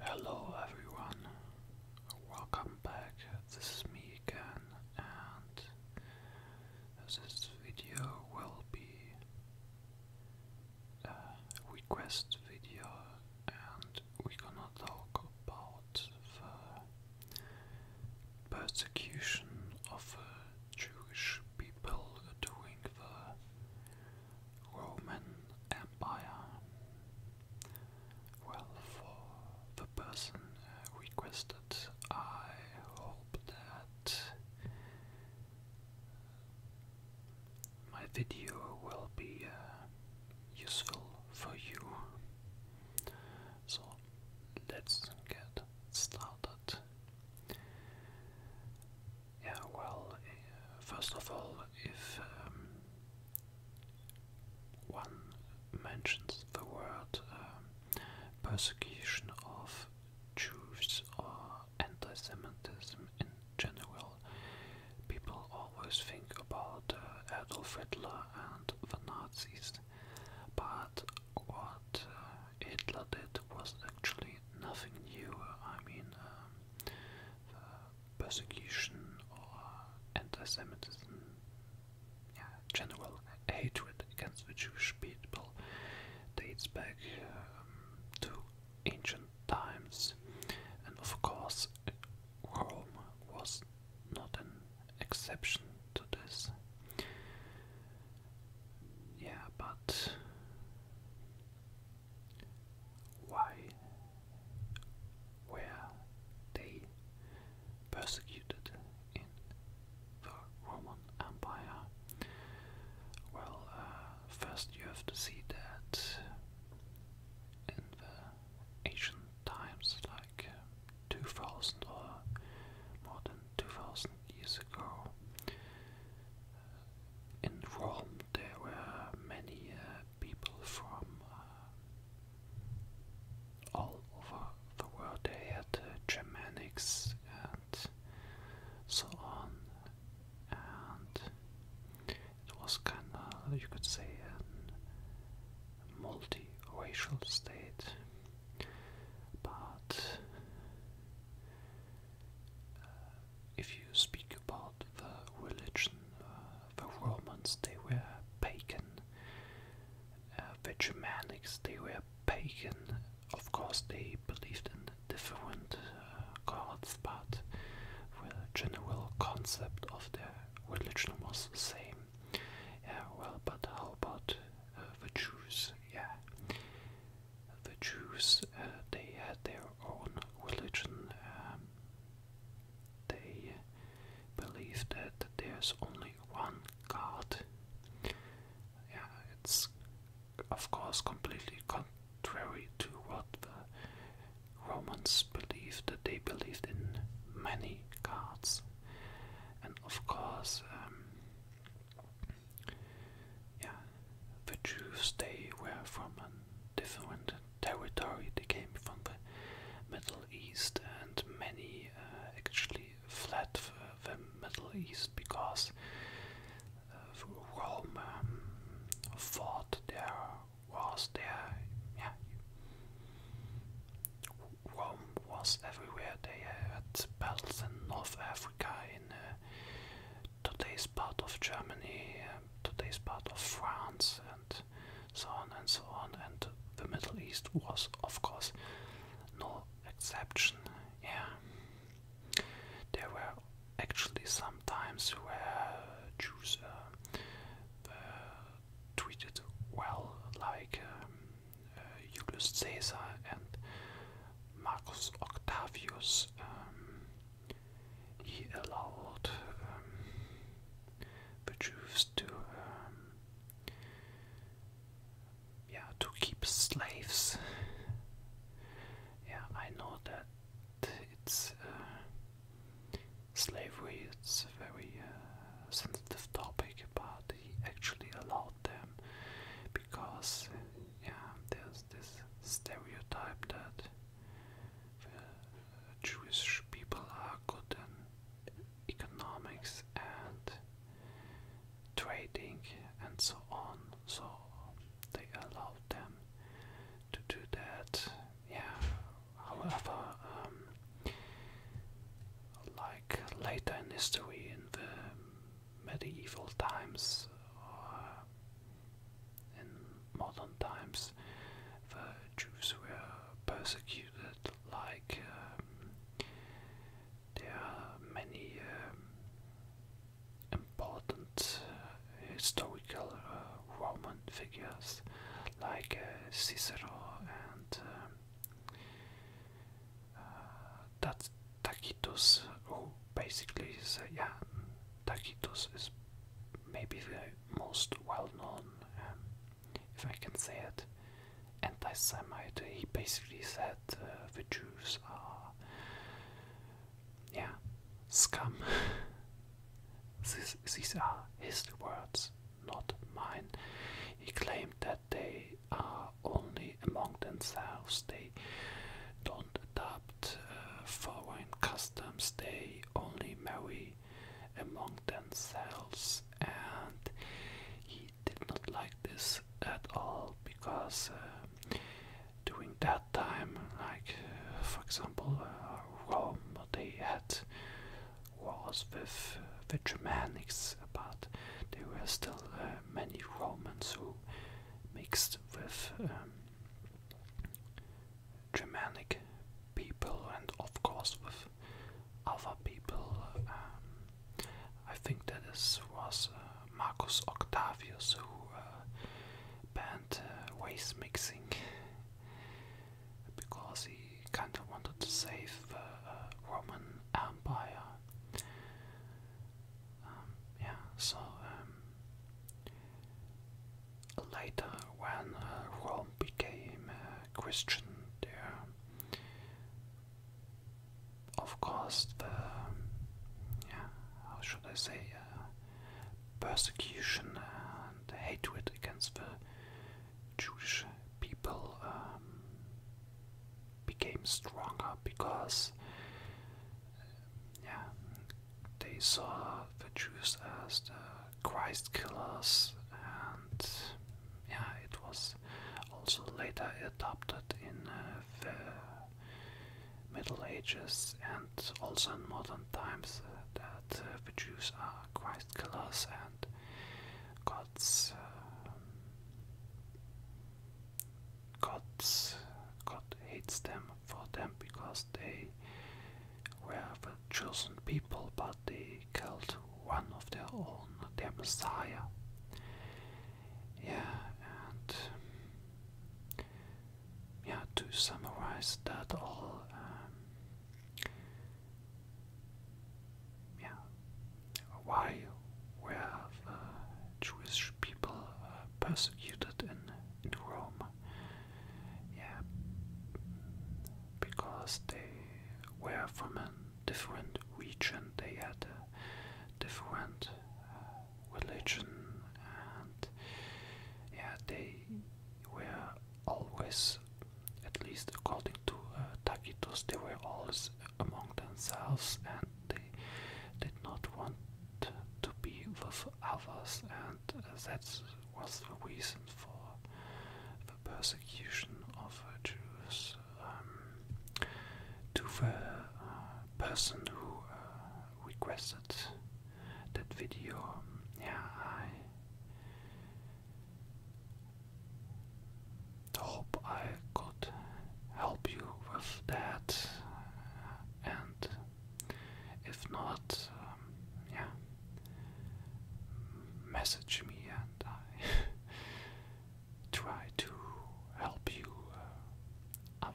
Hello everyone, welcome back. This is me again, and this video will be a request video, and we're gonna talk about the persecution of uh, Jewish people during the Roman Empire. Well, for the person uh, requested, I hope that my video will be uh, useful for you. So let's get started. Yeah, well, uh, first of all, if um, one mentions the word um, persecution of Jews or anti Semitism in general, people always think about uh, Adolf Hitler and the Nazis. But what uh, Hitler did was actually nothing new. I mean, um, uh, persecution or anti-Semitism, general hatred against the Jewish people dates back um, to ancient times, and of course, Rome was not an exception to this. Yeah, but why were they persecuted in the Roman Empire? Well, uh, first you have to see that in the ancient times, like 2000 or more than 2000 years ago, uh, in Rome, there were many uh, people from uh, all over the world. They had uh, Germanics and so on, and it was kind of, you could say, a multi-racial state. But uh, if you speak about the religion, uh, the Romans they were pagan, uh, the Germanics they were pagan. Of course, they believed in different uh, gods, but the general concept of their religion was the same. well, but how about the Jews? Yeah, the Jews uh, they had their own religion. Um, they believe that there's only one God. Yeah, it's of course completely contrary to what the Romans believed. That they believed in many gods, and of course. Um, yeah, the Jews they were from a different territory. They came from the Middle East, and many uh, actually fled the, the Middle East because uh, Rome um, fought their there. Yeah, Rome was everywhere. They had battles in North Africa, in uh, today's part of Germany, um, today's part of France, and so on and so on. And the Middle East was, of course, no exception. Yeah, there were actually some times where Jews uh, uh, were treated well, like um, uh, Julius Caesar and Marcus Octavius. Um, he allowed the Jews to um, yeah to keep slaves. Yeah, I know that it's uh, slavery. It's a very uh, sensitive topic, but he actually allowed them because yeah, there's this stereotype that uh, Jewish people are good in economics and trading and so on, so they allowed them to do that. Yeah, however, um, like later in history, in the medieval times, uh, in modern times, the Jews were persecuted like um, there are many um, important uh, historical uh, Roman figures like uh, Cicero and um, that Takitus, who basically is, uh, yeah, Takitus is maybe the most well-known, um, if I can say it, anti-Semite. He basically said uh, the Jews are, yeah, scum. This, these are his words, not mine. He claimed that they are only among themselves. They don't adapt uh, following customs, they only marry among themselves, and he did not like this at all because uh, during that time, like uh, for example, uh, Rome, they had wars with uh, the Germans, but there were still many Romans who mixed with. Um, Germanic people and of course with other people. Um, I think that this was uh, Marcus Octavius who uh, banned uh, waste mixing because he kind of wanted to save the Roman Empire. Um, yeah, so um, later when uh, Rome became Christian, there, of course, the yeah, how should I say, uh, persecution and hatred against the Jewish people um, became stronger because yeah, they saw the Jews as the Christ killers, and yeah, it was also later adopted in uh, the Middle Ages and also in modern times uh, that uh, the Jews are Christ killers and God's. Um, God's, God hates them for them because they were the chosen people, but they killed one of their own, their Messiah. Yeah, and yeah, to summarize that all, um, yeah, why were the Jewish people uh, persecuted in in Rome. Yeah, because they were from a different region, they had a different uh, religion, and yeah, they were always, at least according to uh, Tacitus, they were always among themselves and they did not want to be with others, and uh, that was the reason for the persecution of Jews. Um, to the uh, person who uh, requested that video, yeah, I hope I could help you with that if not, um, yeah, message me and I try to help you. Uh,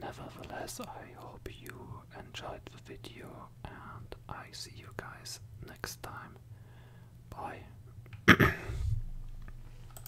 nevertheless, I hope you enjoyed the video, and I see you guys next time. Bye.